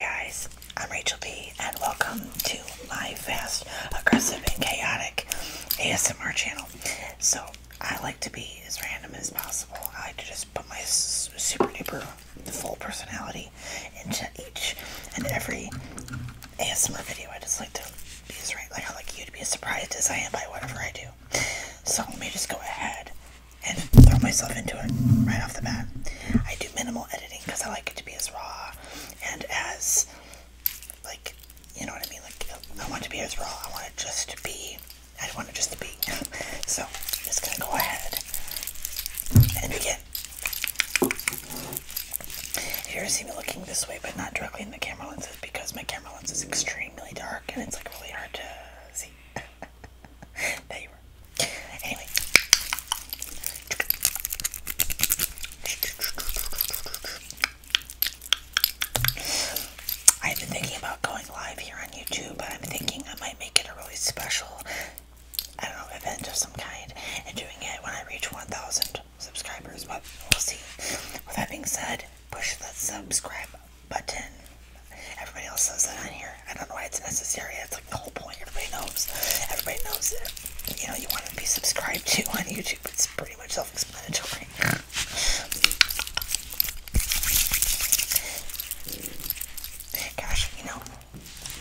guys, I'm Rachel B, and welcome to my fast, aggressive, and chaotic ASMR channel. So, I like to be as random as possible. I like to just put my super duper full personality into each and every ASMR video. I just like to be as right, like I like you to be as surprised as I am by whatever I do. So, let me just go ahead and throw myself into it right off the bat. I do minimal editing because I like it to be as raw and as, like, you know what I mean? Like, I want to be as raw. I want it just to be, I want it just to be. so, I'm just going to go ahead and begin. If you ever see me looking this way but not directly in the camera lenses because my camera lens is extremely dark and it's like really hard to see no, you were. Anyway. I've been thinking about going live here on YouTube, but I'm thinking I might make it a really special, I don't know, event of some kind, and doing it when I reach 1,000 subscribers, but we'll see. With that being said, push that subscribe button. Everybody else says that on here. I don't know why it's necessary. That's like the whole point. Everybody knows. Everybody knows that, you know, you want to be subscribed to on YouTube. It's pretty much self-explanatory. Gosh, you know,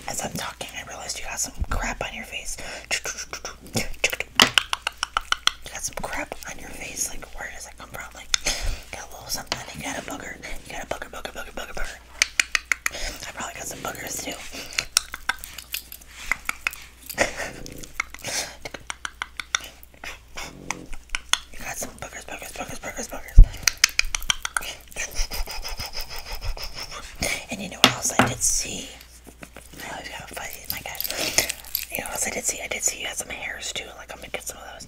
as I'm talking, I realized you got some crap on your face. You got some crap on your face. Like, where does that come from? Like, got a little something. You got a booger. You got a booger, booger, booger, booger, booger. I probably got some boogers too. you got some boogers, boogers, boogers, boogers, boogers. and you know what else I did see? Oh, I always got fuzzy, my god. You know what else I did see? I did see you had some hairs too. Like, I'm gonna get some of those.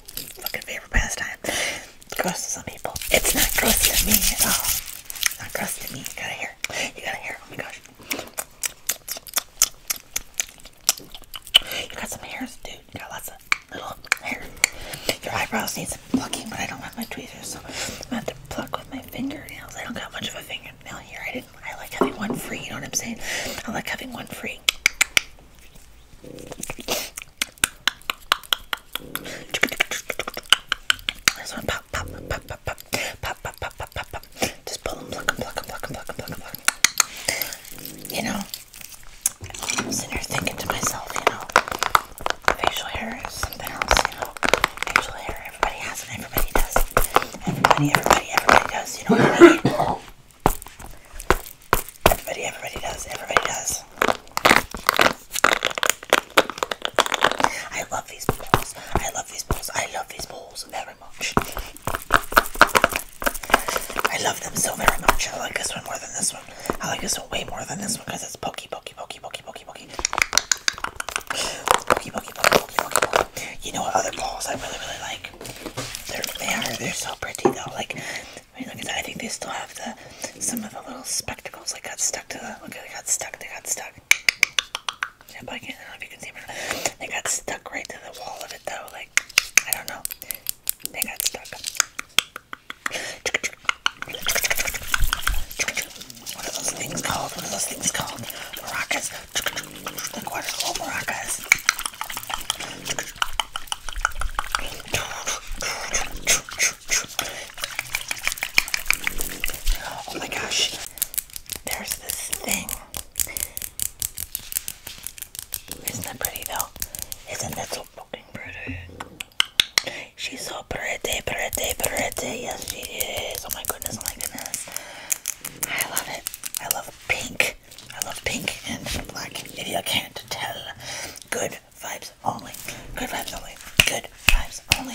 fucking favorite pastime. It's gross to some people. It's not gross to me at all. not gross to me. You got a hair. You got a hair. Oh my gosh. You got some hairs, dude. You got lots of little hair. Your eyebrows need some plucking, but I don't have my tweezers, so I'm gonna have to pluck with my fingernails. I don't got much of a fingernail here. I didn't. I like having one free. You know what I'm saying? I like having one free. Just pull them, pluck them, pluck them, pluck them, pluck them, pluck You know, sitting here thinking to myself, you know, facial hair is something else, you know. Facial hair, everybody has it, everybody does. Everybody, everybody, everybody does, you know Everybody, everybody does. Everybody does. I love these balls. I love these balls. I love these balls very much. I love them so very much. I like this one more than this one. I like this one way more than this one because it's pokey, pokey, pokey, pokey, pokey, pokey. It's pokey, pokey, pokey, pokey, pokey, pokey. You know what other balls I really, really like? They're, they are. They're so pretty though. Like I think they still have the some of the little spectacles that got stuck to the. Look, they got stuck. They got stuck. Yeah, but I can't I don't know if you can see them. They got stuck right to the wall of it, though. Like, I don't know. They got stuck. What are those things called? What are those things called? Maracas. Look, what are maracas? Oh my gosh, there's this thing. Isn't that pretty though? Isn't that so fucking pretty? She's so pretty, pretty, pretty. Yes, she is. Oh my goodness, oh my goodness. I love it. I love pink pink. I love pink and black. If you can't tell, good vibes only. Good vibes only. Good vibes only.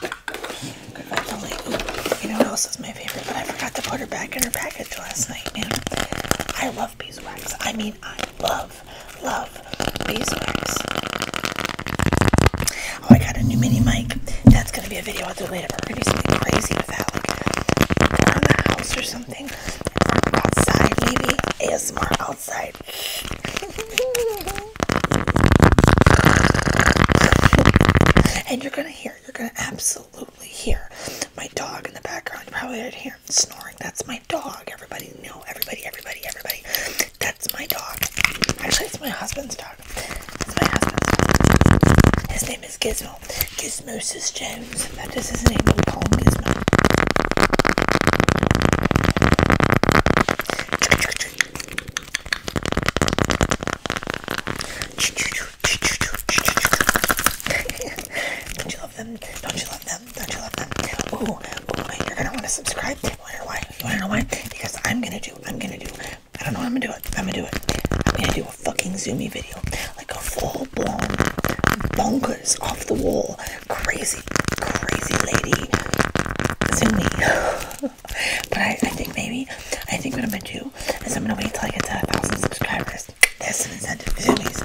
Good vibes only. Ooh, you know what else is my favorite? But I forgot to put her back in her package last night, man. I love beeswax. I mean, I love, love beeswax. Oh, I got a new mini mic. That's gonna be a video I'll do later. We're gonna do something crazy with that, like around the house or something outside, maybe ASMR outside. and you're gonna hear, you're gonna absolutely hear my dog in the background. You probably heard him snoring. That's my dog. Everybody, know. everybody, everybody, everybody. That's my dog. Actually, It's my husband's dog. His name is Gizmo channel, Gizmosis Jones. That is his name in Palm Gizmo. Don't you love them? Don't you love them? Don't you love them? Ooh, you're gonna want to subscribe. why? You wanna know why? Because I'm gonna do. I'm gonna do. I don't know. I'm gonna do it. I'm gonna do it. I'm gonna do fucking Zoomy video, like a full blown, bonkers, off the wall, crazy, crazy lady Zoomy. but I, I think maybe, I think what I'm gonna do is I'm gonna wait till I get to a thousand subscribers. There's some incentive for Zoomies.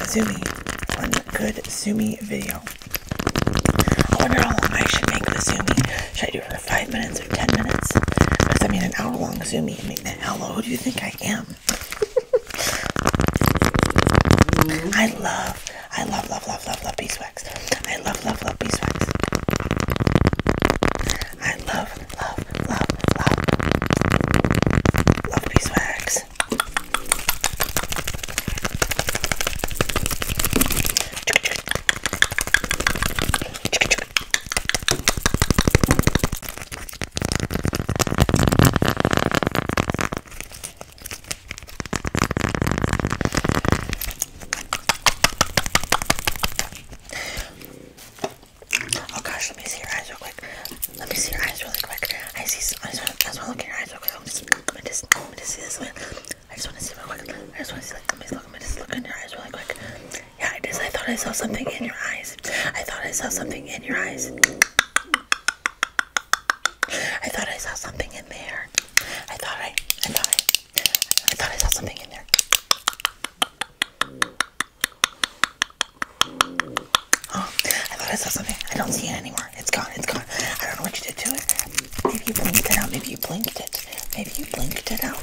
A Zoomy, one good Zoomy video. I wonder how long I should make the Zoomy. Should I do it for five minutes or ten minutes? Because I mean, an hour long Zoomy, I mean, hello, who do you think I I love, I love, love, love, love, love beeswax. I love, love, love beeswax. I love, love, love, love, love beeswax. Oh gosh, let me see your eyes real quick. Let me see your eyes really quick. I see some I just wanna, I just wanna look at your eyes real quick. Let me just let me just, let me just see this one. I just wanna see real quick. I just wanna see like let me just look let me just look in your eyes really quick. Yeah, it is. I thought I saw something in your eyes. I thought I saw something in your eyes. I thought I saw something in there. I thought I, I thought I, I thought I saw something in there. Oh, I thought I saw something. I don't see it anymore. It's gone. It's gone. I don't know what you did to it. Maybe you blinked it out. Maybe you blinked it. Maybe you blinked it out.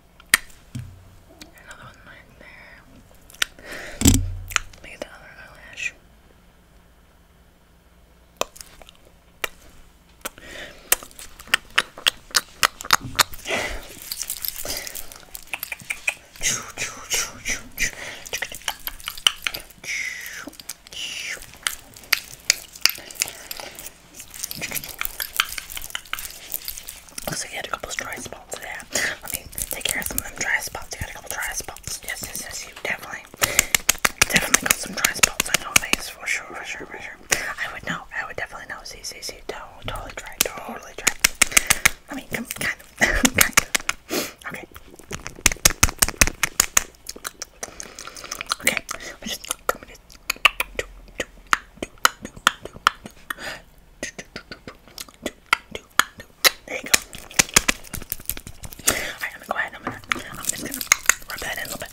Another one right there. Let me get the other eyelash. Choo, choo, choo, choo, choo. Choo, choo. So you had a couple dry spots there. Let me take care of some of them dry spots. You had a couple dry spots. Yes, yes, yes. You definitely, definitely got some dry spots on your face for sure, for sure, for sure. I would know. I would definitely know. See, see, see. Totally dry. Totally dry. I mean, kind of, Okay. Okay. I'm just coming in. Do, do, do, do, do, do. There you go. Alright, I'm gonna go ahead. I'm gonna I'm just gonna rub that in a little bit.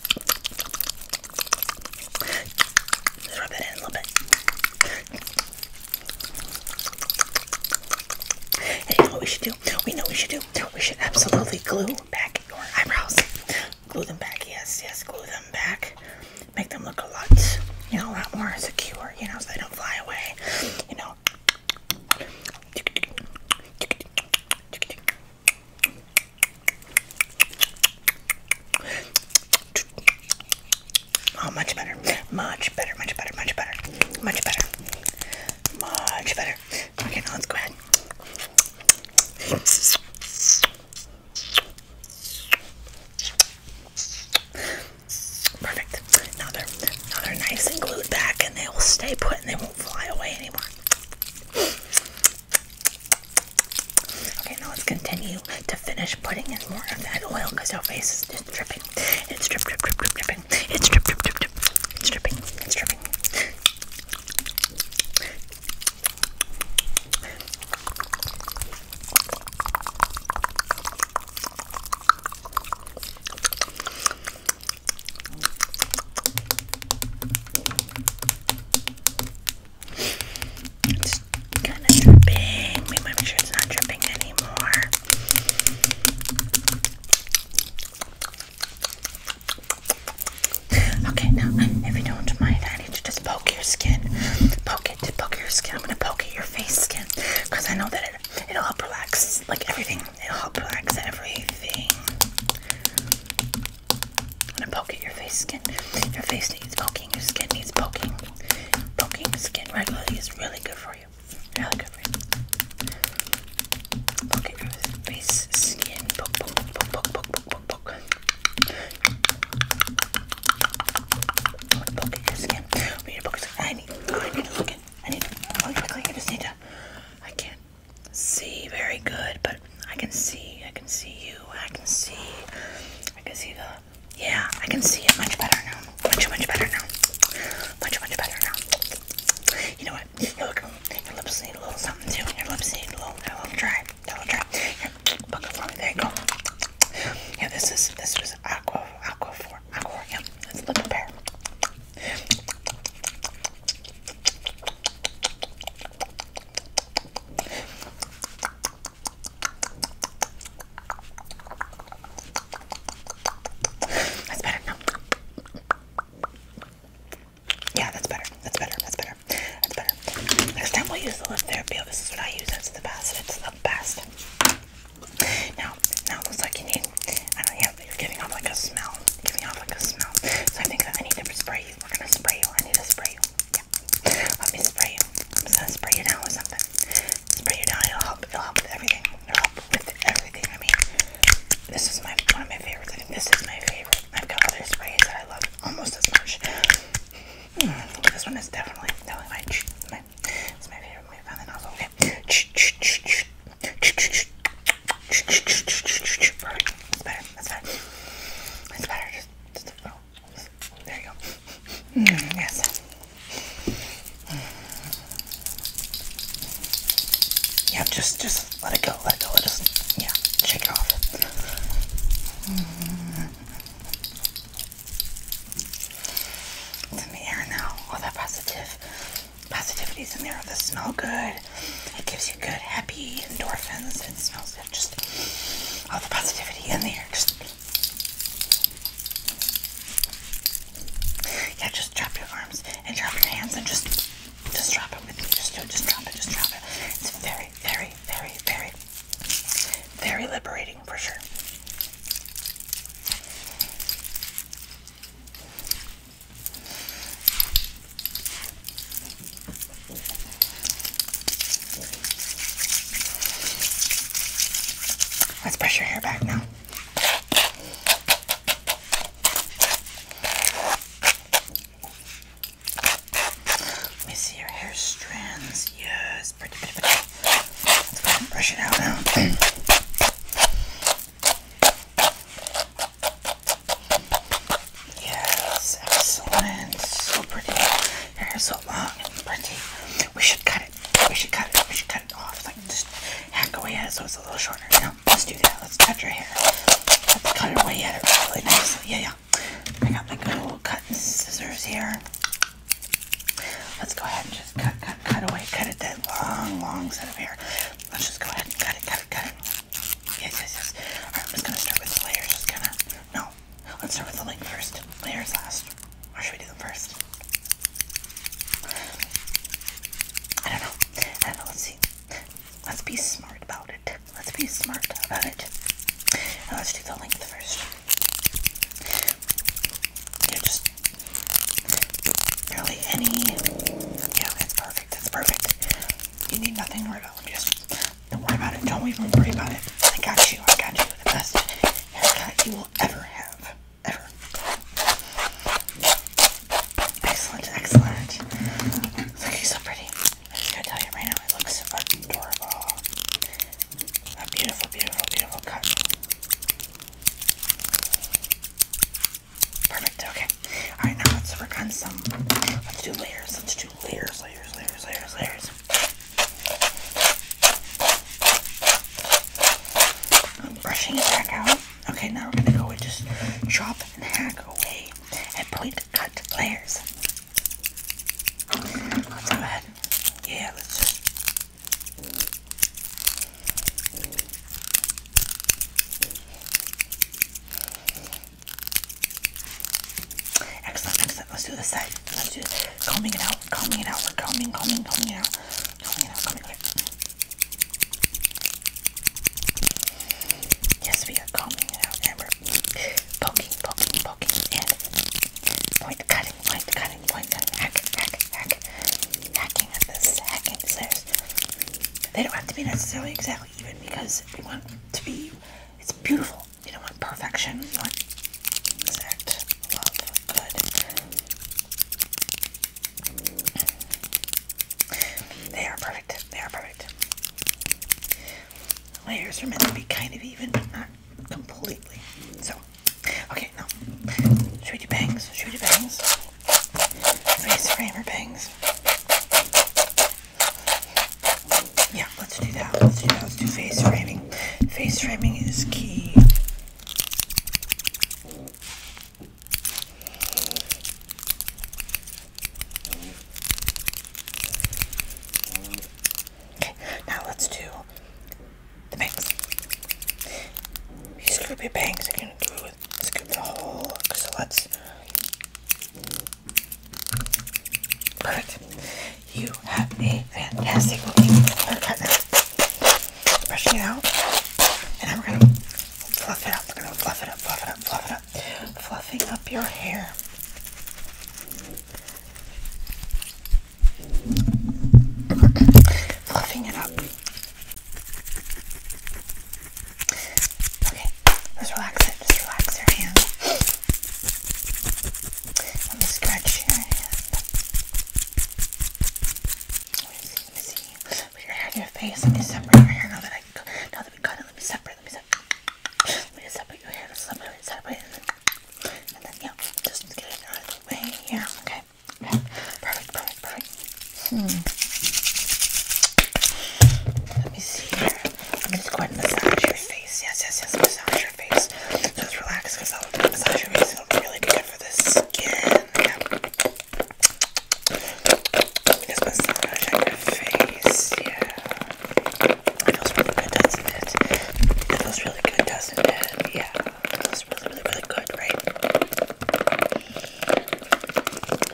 rub that in a little bit. you know what we should do? We know we should do. We should absolutely glue back your eyebrows. Glue them back, yes, yes, glue them back. Make them look a lot, you know, a lot more secure, you know, so they don't fly away, you know. Oh, much better, much better, much better, much better, much better, much better. Okay, now let's go ahead. Perfect. Now they're, now they're nice and glued back and they will stay put and they won't fly away anymore. Okay, now let's continue to finish putting in more of that oil because your face is just dripping. It's drip, drip, drip, drip, dripping. It's drip, drip, drip, drip. It's dripping. It's dripping. It's kind of dripping. We might make sure it's not dripping anymore. Okay, now if you don't mind, I need to just poke your skin. Poke it, poke your skin. I'm gonna poke at your face skin because I know that it, it'll help relax like everything. It'll help relax everything. I'm gonna poke at your face skin. Your face needs poking, your skin needs poking. Poking skin regularly is really good for you. Really good for you. Poke your face skin. Poke, poke, poke, poke, poke, poke, poke, poke. Look at your skin. We need to focus. I need. I need to look in. I need. To, I need to click. I just need to. I can't see very good, but I can see. I can see you. I can see. I can see the. Yeah, I can see it much better now. Much, much better now. Much, much better now. You know what? Look, your lips need a little something too. Your lips need a little, a little dry. A little dry. Your Book for me. There you go. Yeah, this is this was aqua aqua for aqua. Yeah, it's the pair. That's better. No. Yeah, that's better. That's better. That's better. That's better. Next time we'll use the lip therapy. Oh, this is what I use. That's the best. It's the best. Now, now it looks like you need. I know. You're giving off like a smell. giving off like a smell. So I think I need to spray you. We're gonna spray you. I need to spray you. Let me spray you. I'm gonna spray you down with something. Spray you down. It'll help. It'll help with everything. It'll help with everything. I mean, this is my one of my favorites. I think this is my favorite. I've got other sprays that I love almost as much. this one is definitely, definitely my, my, it's my favorite movie found the novel. Okay. That's better. That's better. That's better. Just, just oh, there you go. yes. Mm. Yeah, just, just let it go go, let go. Let yeah, shake it off. It's in the air now. All that positive positivity's in there. The smell good. It gives you good, happy endorphins. It smells good. Just all the positivity in there. Just yeah, just drop your arms and drop your hands and just just drop it with me. Just do it. Just drop it. Just drop it. It's very very, very, very, very, liberating for sure. Let's brush your hair back now. Let me see your hair strands. Yes, pretty, pretty, pretty. Let's brush it out now. yes, excellent. So pretty. Hair is so long and pretty. We should cut it. We should cut it. We should cut it off. Like just hack away at it so it's a little shorter. You let's do that. Let's cut your hair. Let's cut away at it really nicely. Yeah, yeah. I got like a little cutting scissors here. Let's go ahead and just cut, cut, cut away, cut it that long, long set of hair. Let's just go ahead and cut it, cut it, cut it. Yes, yes, yes. Alright, I'm just gonna start with the layers, just kinda no. Let's start with the length first. Layers last. Or should we do them first? I don't know. I don't know, let's see. Let's be smart about it. Let's be smart about it. let's do the length first. Yeah, just barely any. Yeah, that's perfect. That's perfect. You need nothing to worry about. Just don't worry about it. Don't even worry about it. I got you. I got you. The best haircut you will ever have. Ever. Excellent. Excellent. Looking so pretty. I gotta tell you right now, it looks adorable. A beautiful, beautiful, beautiful cut. Perfect, okay. Alright, now let's work on some, let's do layers, let's do layers, layers, layers, layers, layers. I'm brushing it back out. Okay, now we're gonna go and just chop and hack away and point cut layers. Let's go Yeah, let's Excellent, excellent. Let's do this side. Let's do this. Combing it out, combing it out. We're combing, combing, combing it out. Combing it out. Yes, we are combing it out and we're poking, poking, poking, and point cutting, point cutting, point cutting, hack, hack, hacking at this, hacking at They don't have to be necessarily exactly even because we want to be, it's beautiful. You don't want perfection, you want exact love, good. They are perfect, they are perfect. Layers are meant to be kind of even, but not completely. So, okay, now, should we bangs? Shoot we bangs? Face frame or bangs? Yeah, let's do that. Let's do that. Let's do face framing. Face framing is key. Okay, now let's do the bangs. These loopy bangs are gonna do it. Scoop the whole look. So let's. Perfect. You have a fantastic looking haircut now. Brushing it out, and I'm gonna fluff it up. We're gonna fluff it up, fluff it up, fluff it up of fluffing up your hair. fluffing it up. Okay, just relax it. Just relax your hand. Let me scratch your hand. Let me see. Let me see. Put your hair on your face. Let me separate your hair now that I now that let me cut it, let me separate, let me separate, let me separate your hair, let's separate, separate, and then, and then, yeah, just get it out of the way here, okay, okay, perfect, perfect, perfect, hmm, let me see here, I'm just going to massage your face, yes, yes, yes, massage your face, just relax, because I'll massage your face, it'll be really good for the skin, yeah. It's massage your face, yeah. feels really good, doesn't it? It feels really good, doesn't it? Yeah. feels really, really, really good, right?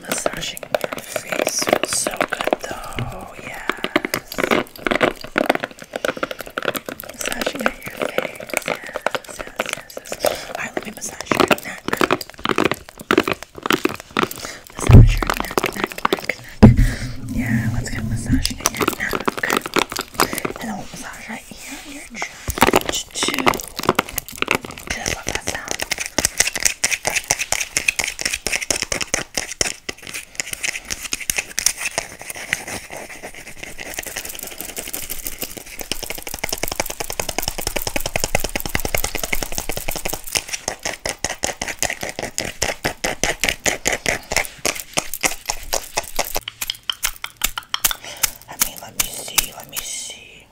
Massaging your face feels so good, though. Yes. Massaging your face, yes, yes, yes. Alright, let me massage your neck. Massage your neck, Yeah, let's get a massage in And then massage right here on your chest too. Just love that sound. I mean, let me see, let me see.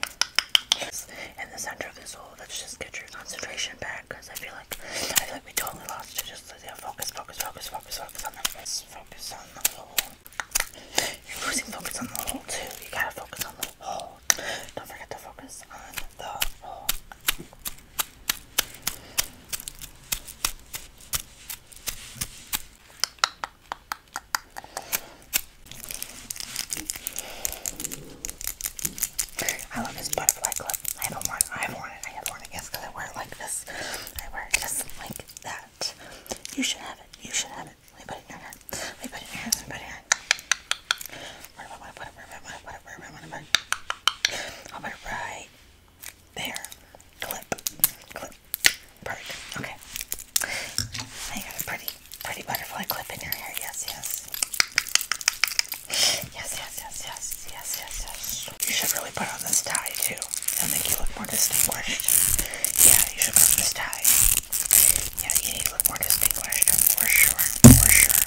In the center of this hole, let's just get your concentration back because I feel like I feel like we totally lost it. Just yeah, focus, focus, focus, focus, focus on the focus, focus on the hole. You're losing focus on the hole too. You gotta focus on the hole. Don't forget to focus on the I love this butterfly clip. I have one. I have worn it. I have worn it. Yes, because I wear it like this. I wear it like that. You should have it. You should have it it. Let me put it in your hair. Let me put it in your hair. Let me put it in your hair. Where do I want to put it? Where do I want to put it? Where do I want to put it? I'll put it right there. Clip. Clip. Perfect. Okay. I got a pretty, pretty butterfly clip in your hair. Yes, yes. Yes, yes, yes, yes, yes, yes, yes. You should really put on this tie too. It'll make you look more distinguished. Yeah, you should put on this tie. Yeah, you need to look more distinguished for sure, for sure.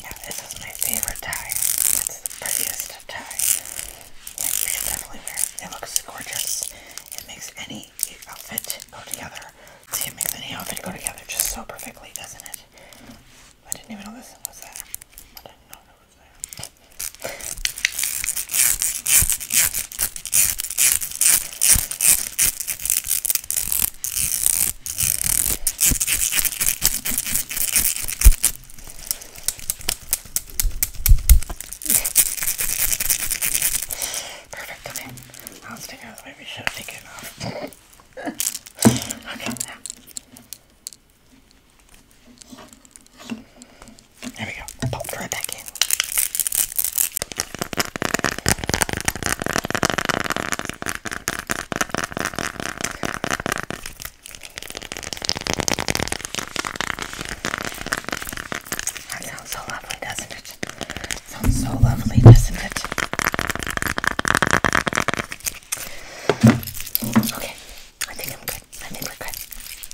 Yeah, this is my favorite tie. That's the prettiest tie. Yeah, you should definitely wear it. It looks gorgeous. It makes any outfit go together. See, it makes any outfit go together just so perfectly, doesn't it? I didn't even know this was there. I didn't know it was there. Perfect, come in. I'll stick out the way we should have taken it off. okay, now. There we go. Popped right back in. That sounds so lovely, doesn't it? Sounds so lovely, doesn't it? Okay, I think I'm good. I think we're good.